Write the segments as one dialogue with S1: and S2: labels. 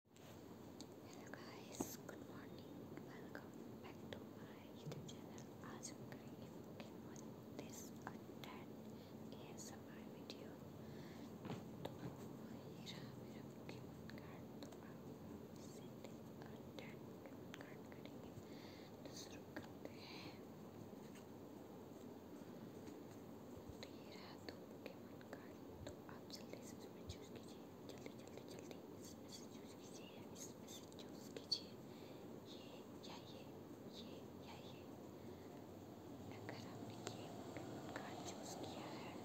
S1: Hello guys good morning welcome back to my YouTube channel आज हम करेंगे Pokemon this attack ये समय वीडियो तो ये रहा मेरा पोकेमॉन कार्ड तो आप इसे दिस अटैट पोकेमॉन कार्ड करेंगे तो शुरू करते हैं तो ये रहा तो पोकेमॉन जानकारी तो आप जल्दी से इसमें चूज़ कीजिए जल्दी जल्दी जल्दी इसमें से चूज़ कीजिए या इसमें से चूज़ कीजिए ये या ये ये या ये अगर आपने ये कार्ड चूज़ किया है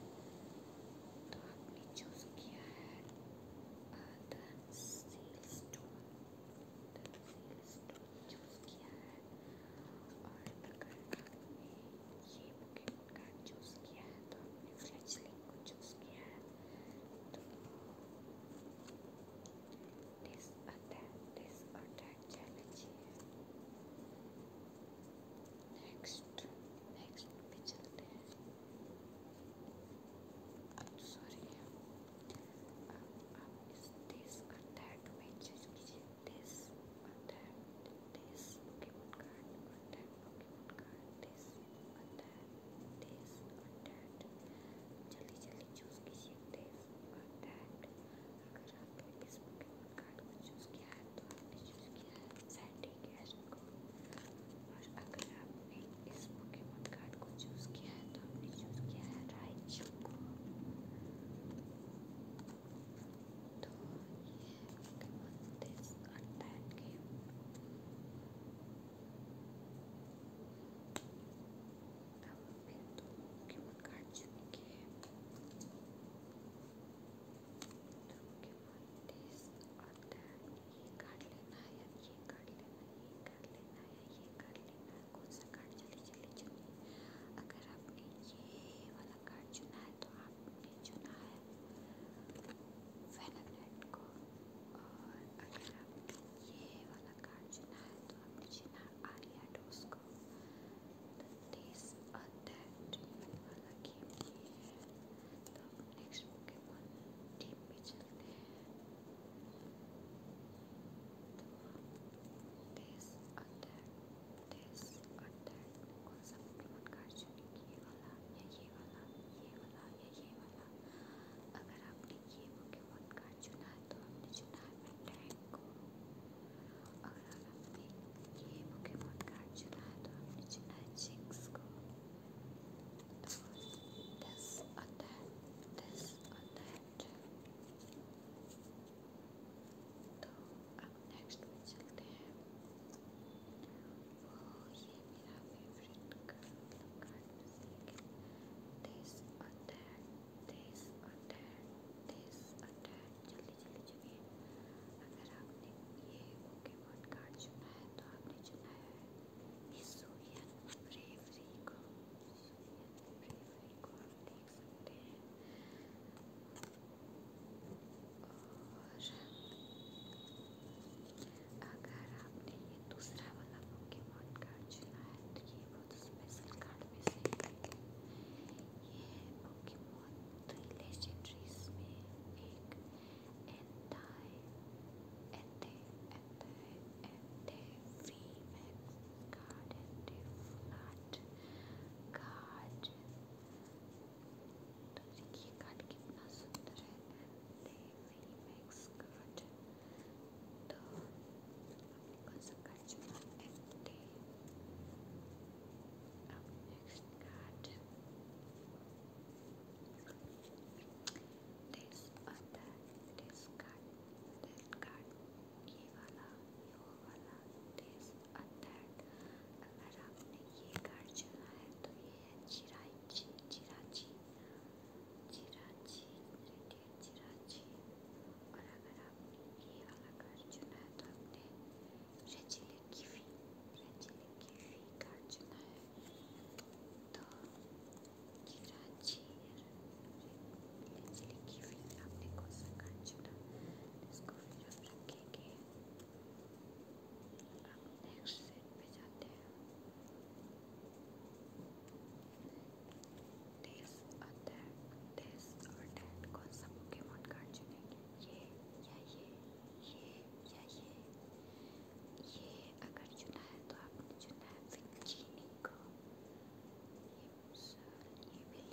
S1: तो आपने चूज़ किया है the seal stone the seal stone choose किया है और अगर आपने ये बुके ऑप्शन का चूज़ किया है तो आपने फ्लैचलिंग को चूज़ किया है तो this attack this attack challenge है नेक्स्ट नेक्स्ट पे चलते हैं सॉरी आप इस डिस अटैक में चूज़ कीजिए this attacked this Pokemon card, attacked Pokemon card, this attacked this attacked. जल्दी जल्दी चूज कीजिए this attacked. अगर आपने इस Pokemon card को चूज किया है तो आपने चूज किया है Sandy Cash को और अगर आपने इस Pokemon card को चूज किया है तो आपने चूज किया है Raichu को तो ये Pokemon this attack game अब फिर तो Pokemon कार्ड चुन के तो Pokemon this attack ये कार्ड लेना है ये कार्ड लेना है ये कार्ड लेना है ये कार्ड लेना है कौन सा कार्ड जल्दी जल्दी चुनिए अगर आपने ये वाला कार्ड चुना है तो आपने चुना है फेनालाइट को और अगर आपने ये वाला कार्ड चुना है तो आपने चुना आलिया डोस को तो दिस और दैट वाला गेम ये है तो आप नेक्स्ट पोकेमॉन टीम पे चलते हैं this अटैक this अटैक कौन सा पोकेमोन कार्ड चुनेंगे ये वाला या ये वाला ये वाला या ये वाला अगर आपने ये पोकेमोन कार्ड चुना है तो आपने चुना है अटैक को अगर आपने ये पोकेमोन कार्ड चुना है तो आपने चुना है जिंक्स को तो this अटैक this अटैक तो अब नेक्स्ट में चलते हैं वो ये मेरा फेवरेट मतलब कार्ड में से एक है दिस और दैट दिस और दैट दिस और दैट जल्दी जल्दी चलिए अगर आपने ये पोकेमॉन कार्ड चुना है तो आपने चुना है इस सूर्यन ब्रेवरी को सूर्यन ब्रेवरी को आपने देख सकते हैं और अगर आपने ये दूसरा वाला पोकेमॉन कार्ड चुना है तो ये बहुत स्पेशल कार्ड में से ये है पोकेमॉन थ्री लेजेंडरीज में एक Entei Entei and a female guard and a flat guard तो देखिए कार्ड कितना सुंदर है रीमेक्स कार्ड तो हमने कौन सा कार्ड चुना एंटे अब नेक्स्ट कार्ड this और that this cut that cut ये वाला ये वो वाला this और that अगर आपने ये कार चला है तो ये है चिराची चिराची चिराची रेडियट चिराची और अगर आपने ये वाला कार चुना है तो आपने रेजिले कीवी रेजिले कीवी कार चुना है तो कि रांची मछली की फिर आपने कोसा काट छोड़ा इसको फिर हम रखेंगे अब नेक्स्ट सेट पे जाते हैं दिस और दैट दिस और दैट कौन सा पोकेमॉन कार्ड चुनेंगे ये या ये ये या ये ये अगर चुना है तो आपने चुना है विंचीनी को ये भी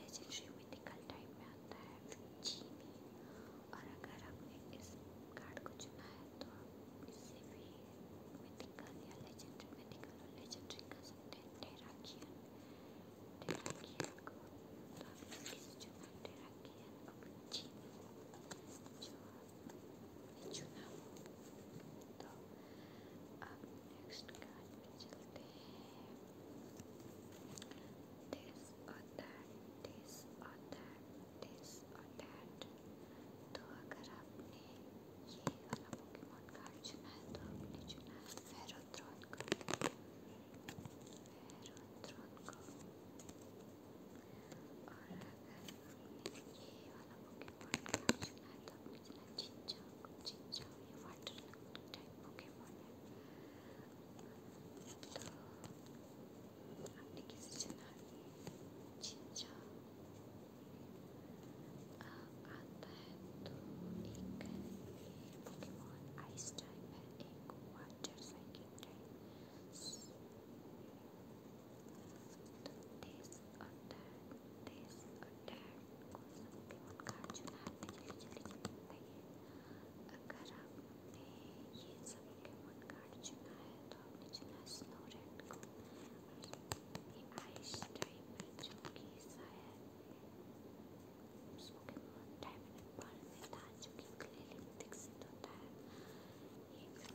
S1: लेजेंडरी मिथिकल टाइप में आता है विंचीनी और अगर आपने इस कार्ड को चुना है तो आप इससे भी मिथिकल या लेजेंडरी मिथिकल और लेजेंडरी कह सकते हैं टेराकियन टेराकियन को तो आपने इसे चुना टेराकियन और विंचीनी जो ये चुना तो अब नेक्स्ट कार्ड में चलते हैं दिस और दैट दिस और दैट दिस और दैट तो अगर आपने ये वाला पोकेमॉन कार्ड चुना है तो आपने चुना है फेरोथ्रोन को फेरोथ्रोन को और अगर ये वाला पोकेमॉन रिएक्शन है तो आपने सुना चिंचा चिंचा ये वाटर टाइप पोकेमॉन है तो आपने किसी सुना चिंचा आता है तो एक पोकेमॉन आइस टाइप है एक water cycle type this or that this or that को सकती हूँ कार्ड चुनाते जल्दी जल्दी चलता है अगर आपने ये सब के वन कार्ड चुना है तो आपने चुना स्नो रेड को ये आइस टाइप है जो कि शायद उसके टाइप में पल में था जो कि क्लियरली विकसित होता है ये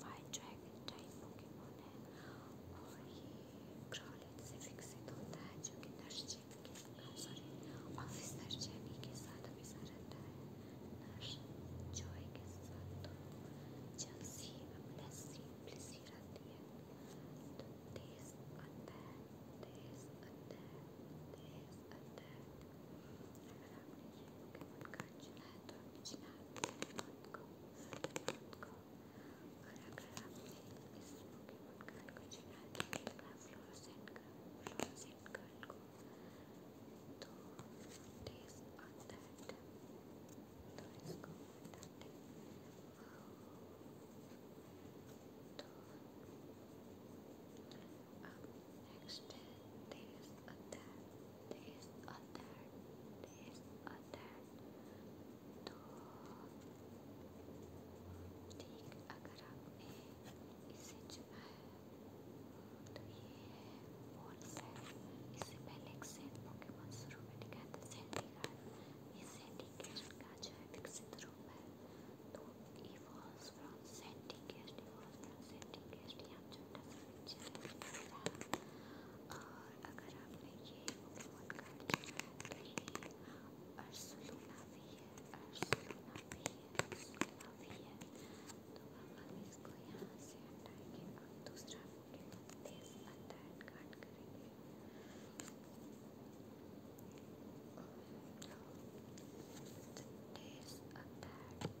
S1: फायर ड्रैगन टाइप पोकेमोन है और ये क्रॉलिन से विकसित होता है जो कि नर्स जैनी के सॉरी ऑफिसर जैनी के साथ हमेशा रहता है नर्स जॉय के साथ तो जलसी ब्लेसी ब्लेसी रहती है तो तेज आता है तेज आता है तेज आता है अगर आपने ये पोकेमोन कार्ड चुना है तो आप चुना को को खड़ा खड़ा इस पोकेमॉन कार्ड को चिढ़ा दिया फ्लोरोसेंट कार्ड फ्लोरोसेंट कार्ड को तो डेज ऑन दैट तो इसको हटाते तो अब next this and that this or that, this or that तो ठीक अगर आपने इसे चुना है तो ये है बॉल सेट इससे पहले एक सेट पोकेमॉन शुरू में दिखाया था ये सैंडीकेश का जो है विकसित रूप है तो इवॉल्व्स फ्रॉम सैंडीकेश इवॉल्व्स फ्रॉम सैंडीकेश आप छोटा सा पिक्चर और अगर आपने ये पोकेमॉन कार्ड चुना है तो ये अर्सलूना भी है अर्सलूना भी है अर्सलूना भी है तो अब हम इसको यहाँ से हटाएंगे और दूसरा पोकेमॉन तेज अटैक कार्ड करेंगे तेज अटैक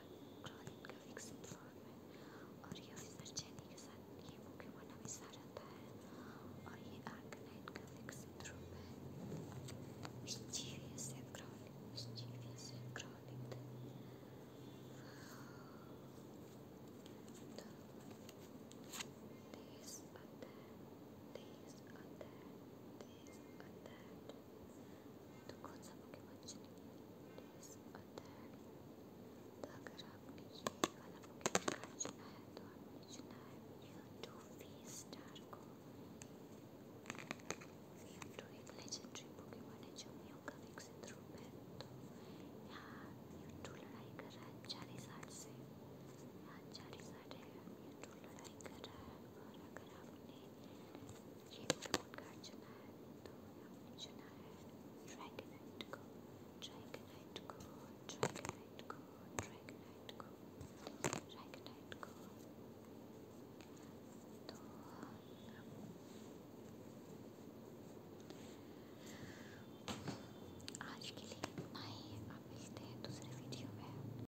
S1: क्लोरीन का फिक्स फ्लोर में और ये विसर्जनी के साथ ये मुख्य मना मिसा रहता है और ये आर्कनाइट का फिक्स रूप है mischievous and crawling mischievous and crawling these are that, these are that, these are that. तो कौन सा पोकेमोन चुनेंगे डेज और दैट तो अगर आपने ये वाला पोकेमोन कार्ड चुना है तो आपने चुना है म्यूटो फेस स्टार को म्यूटो एक लेजेंडरी पोकेमोन है जो म्यू का विकसित रूप है तो यहाँ म्यूटो लड़ाई कर रहा है चालीसाट से यहाँ चालीसाट है म्यूटो लड़ाई कर रहा है और अगर आपने रेडवुड का चुना है तो हमने चुना है ड्रैगनाइट को ड्रैगनाइट को ड्रैगनाइट को ड्रैगनाइट को ड्रैगनाइट को तो आज के लिए इतना ही आप मिलते हैं दूसरे वीडियो में